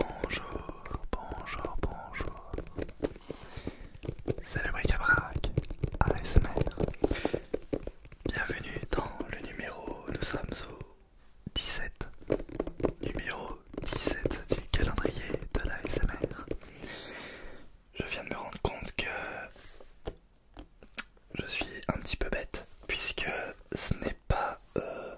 Bonjour, bonjour, bonjour. C'est le bric à la ASMR. Bienvenue dans le numéro, nous sommes au 17. Numéro 17 du calendrier de la SMR. Je viens de me rendre compte que je suis un petit peu bête puisque ce n'est pas euh,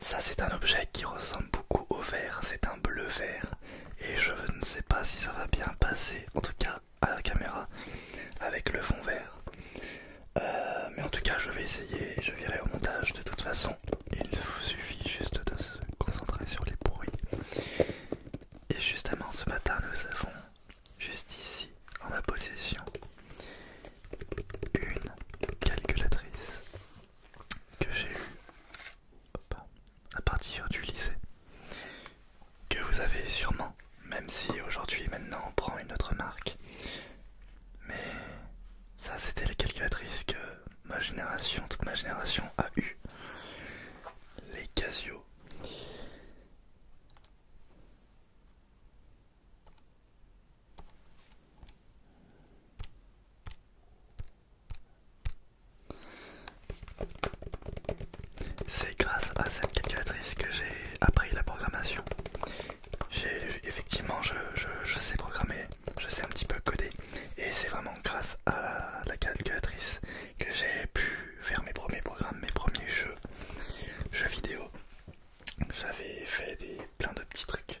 ça c'est un objet qui ressemble beaucoup au vert, c'est un bleu vert et je ne sais pas si ça va bien passer en tout cas à la caméra avec le fond vert. Euh, mais en tout cas je vais essayer, je verrai au montage de toute façon il vous suffit juste de se concentrer sur les bruits. Et justement, ce matin, nous avons juste ici, en ma possession, une calculatrice que j'ai eue à partir du lycée, que vous avez sûrement, même si aujourd'hui maintenant on prend une autre marque, mais ça c'était la calculatrice que ma génération, toute ma génération a eu. Les Casio. C'est grâce à cette calculatrice que j'ai appris la programmation effectivement je, sais programmer, je sais un petit peu coder et c'est vraiment grâce à la, calculatrice que j'ai pu faire mes premiers programmes, mes premiers jeux, jeux vidéo. J'avais fait des, plein de petits trucs.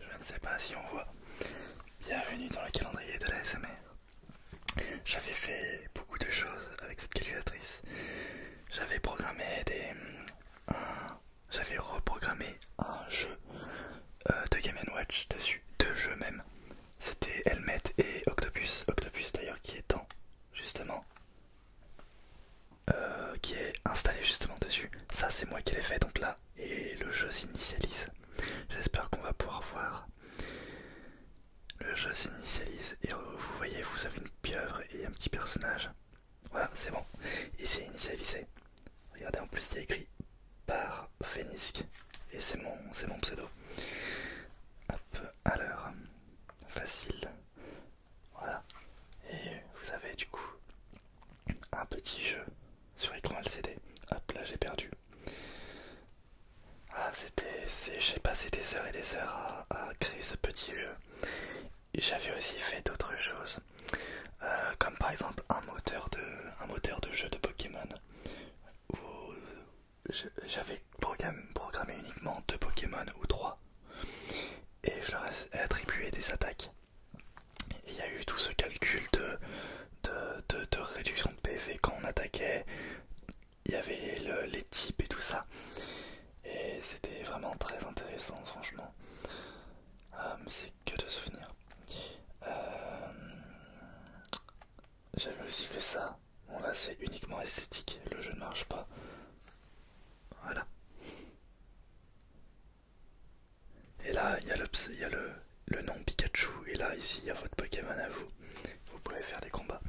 Je ne sais pas si on voit. Bienvenue dans le calendrier de la SMR. J'avais fait beaucoup de choses avec cette calculatrice. J'avais programmé des. J'avais reprogrammé un jeu euh, de Game Watch dessus, deux jeux même. C'était Helmet et Octopus. Octopus d'ailleurs qui est en justement. Euh, qui est installé justement dessus. Ça c'est moi qui l'ai fait donc là et le jeu s'initialise. J'espère qu'on va pouvoir voir. Le jeu s'initialise et euh, vous voyez, vous avez une pieuvre et un petit personnage. Voilà, c'est bon. Et c'est initialisé. Regardez, en plus, il y écrit par Phénisque. Et c'est mon, c'est mon pseudo. Hop, à l'heure. Facile. Voilà. Et vous avez du coup un petit jeu sur écran LCD. Hop là, j'ai perdu. Ah, c'était, j'ai passé des heures et des heures à, créer ce petit jeu. J'avais aussi fait d'autres choses, euh, comme par exemple un moteur de, jeu de Pokémon. j'avais programmé uniquement deux Pokémon ou trois, et je leur ai attribué des attaques. Et il y a eu tout ce calcul de, de, de, réduction de PV quand on attaquait, il y avait les types et tout ça. Et c'était vraiment très intéressant, franchement. Euh, c'est que de souvenirs. Euh, j'avais aussi fait ça. Bon là c'est uniquement esthétique, le jeu ne marche pas. Voilà. Et là, il y a, le, il y a le, nom Pikachu. Et là, ici, il y a votre Pokémon à vous. Vous pouvez faire des combats.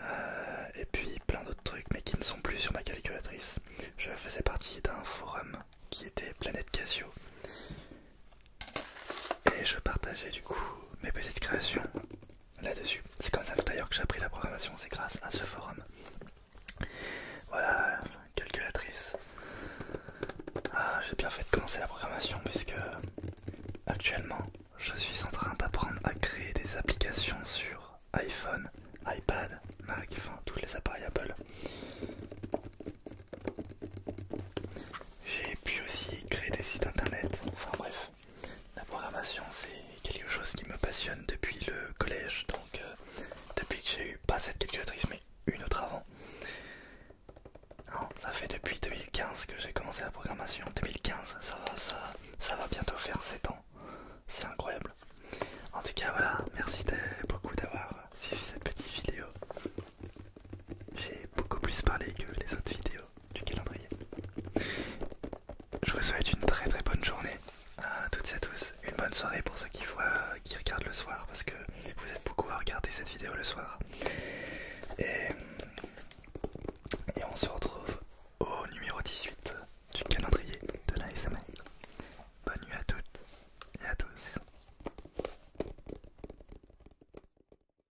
Euh, et puis plein d'autres trucs, mais qui ne sont plus sur ma calculatrice. Je faisais partie d'un forum qui était Planète Casio. Et je partageais du coup mes petites créations là-dessus. C'est comme ça tout d'ailleurs que j'ai appris la programmation, c'est grâce à ce forum. Voilà, calculatrice. Ah, j'ai bien fait de commencer la programmation puisque actuellement je suis en train d'apprendre à créer des applications sur iPhone, iPad, Mac, enfin tous les appareils Apple. J'ai pu aussi créer des sites internet, enfin bref. La programmation, c'est quelque chose qui me passionne depuis le collège, donc euh, depuis que j'ai eu pas cette calculatrice, mais une autre avant. ça fait depuis 2015 que j'ai commencé la programmation. 2015, ça ça, ça va bientôt faire 7 ans. C'est incroyable. En tout cas, voilà, merci beaucoup d'avoir suivi cette petite vidéo. J'ai beaucoup plus parlé que les autres vidéos du calendrier. Je vous souhaite une très très bonne journée à toutes et à tous. Une bonne soirée pour ceux qui, voient, qui regardent le soir, parce que vous êtes beaucoup à regarder cette vidéo le soir. Et, on se retrouve au numéro 18 du calendrier de la semaine. Bonne nuit à toutes et à tous.